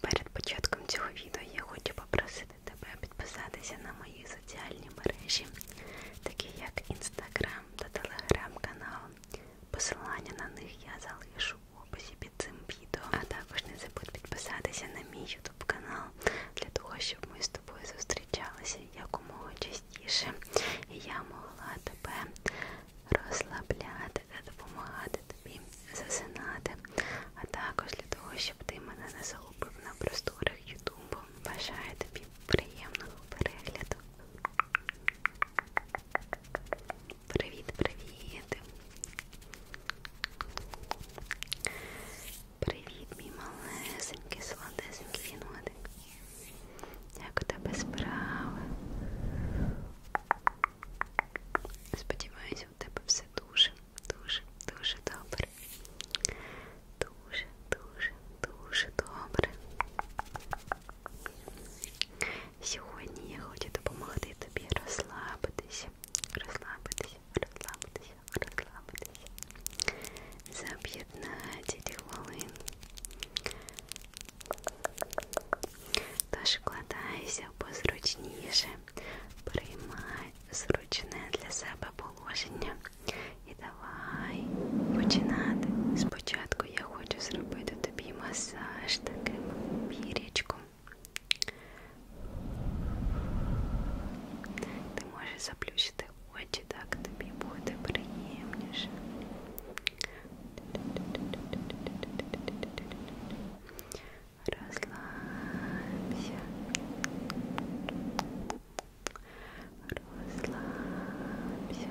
Перед початком цього відео я хочу попросити тебе підписатися на мої соціальні мережі, такі як Інстаграм та Телеграм-канал. Посилання на них я залишу в описі під цим відео. А також не забудь підписатися на мій ютуб канал для того, щоб ми з тобою зустрічалися якомога частіше. І я могла тебе розслабляти ти та допомагати тобі засинати, а також для того, щоб ти мене не загубив на просторах Ютубу. Бажаю тобі приємного перегляду. Привіт-привіт! Привіт, мій малесенький, солодесенький вінотик. Як у тебе справи? Сподіваюсь, Друзі, у тебе все дуже, дуже, дуже добре. Дуже, дуже, дуже добре. Сьогодні я хочу допомогти тобі розслабитися, розслабитися, розслабитися, розслабитися. За 15 хвилин. Дошкладайся позручніше, приймай зручне для себе положення. І давай починати. Спочатку я хочу зробити тобі масаж таким пірічком. Ти можеш заплющити очі, так тобі буде приємніше. Расслабься. Расслабься. Расслабься. Расслабься.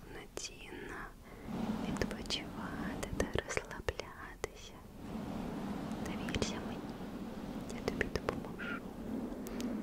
повноцінно відпочивати та розслаблятися. Довірся мені, я тобі допоможу. Розслабся.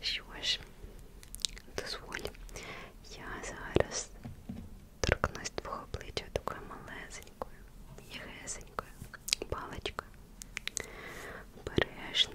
Що ж, дозволь, я зараз торкнусь твого обличчя такою малесенькою, єгесенькою паличкою. Бережно,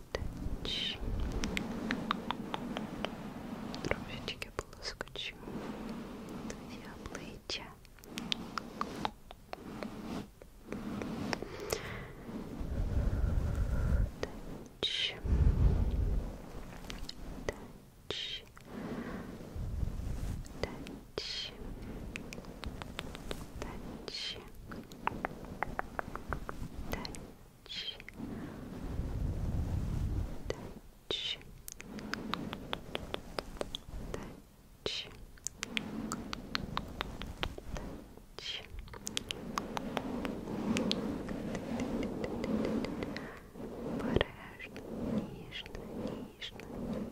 удачи. Трошечки полоскочу. Друзья, плечи. Удачи. Удачи. Удачи. Удачи. Touch. Touch. Touch. Touch. Порежно, нежно, нежно, нежно.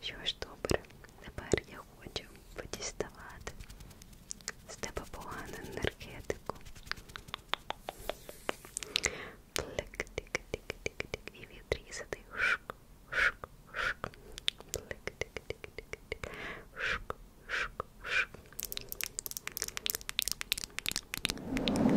Що ж добре, тепер я хочу подіставати з тебе погану енергетику. Плик, тик, тик, тик, тик, і відрізати. Шк, шк, шк. Плик, тик, тик, тик, тик. Шк, шк, шк. Плик,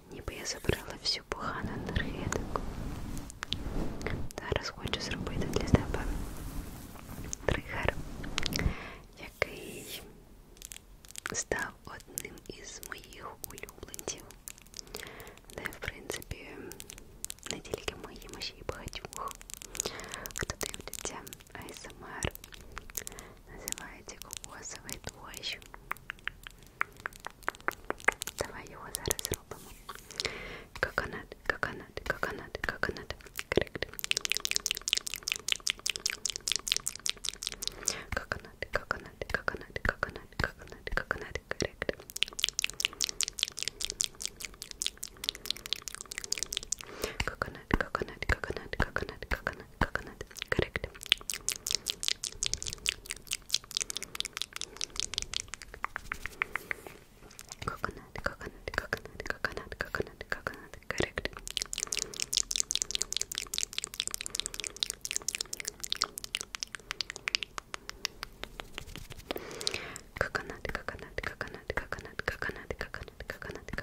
ніби я забрала всю погану енергетику. Зараз хочу зробити для тебе тригер, який став одним із моїх улюбленців, де, в принципі, не тільки моїм, а ще й багатьох, хто дивляться АСМР называется кокосовый дождь. Давай его зараз робимо. Коконат, коконат, коконат, коконат. Коконат, коконат, коконат, коконат, коконат, коконат, коррект. Коконат, коконат, коконат, коконат, коконат. coconut, correct. Coconut, coconut, coconut, coconut, coconut, coconut, correct. Coconut, coconut, coconut, coconut, coconut, coconut, coconut, coconut, coconut, correct.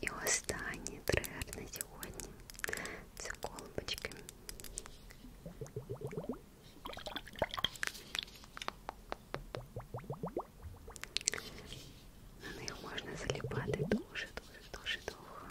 І останній тригер на сьогодні це колбочки. На ну, них ну можна заліпати дуже-дуже-дуже довго.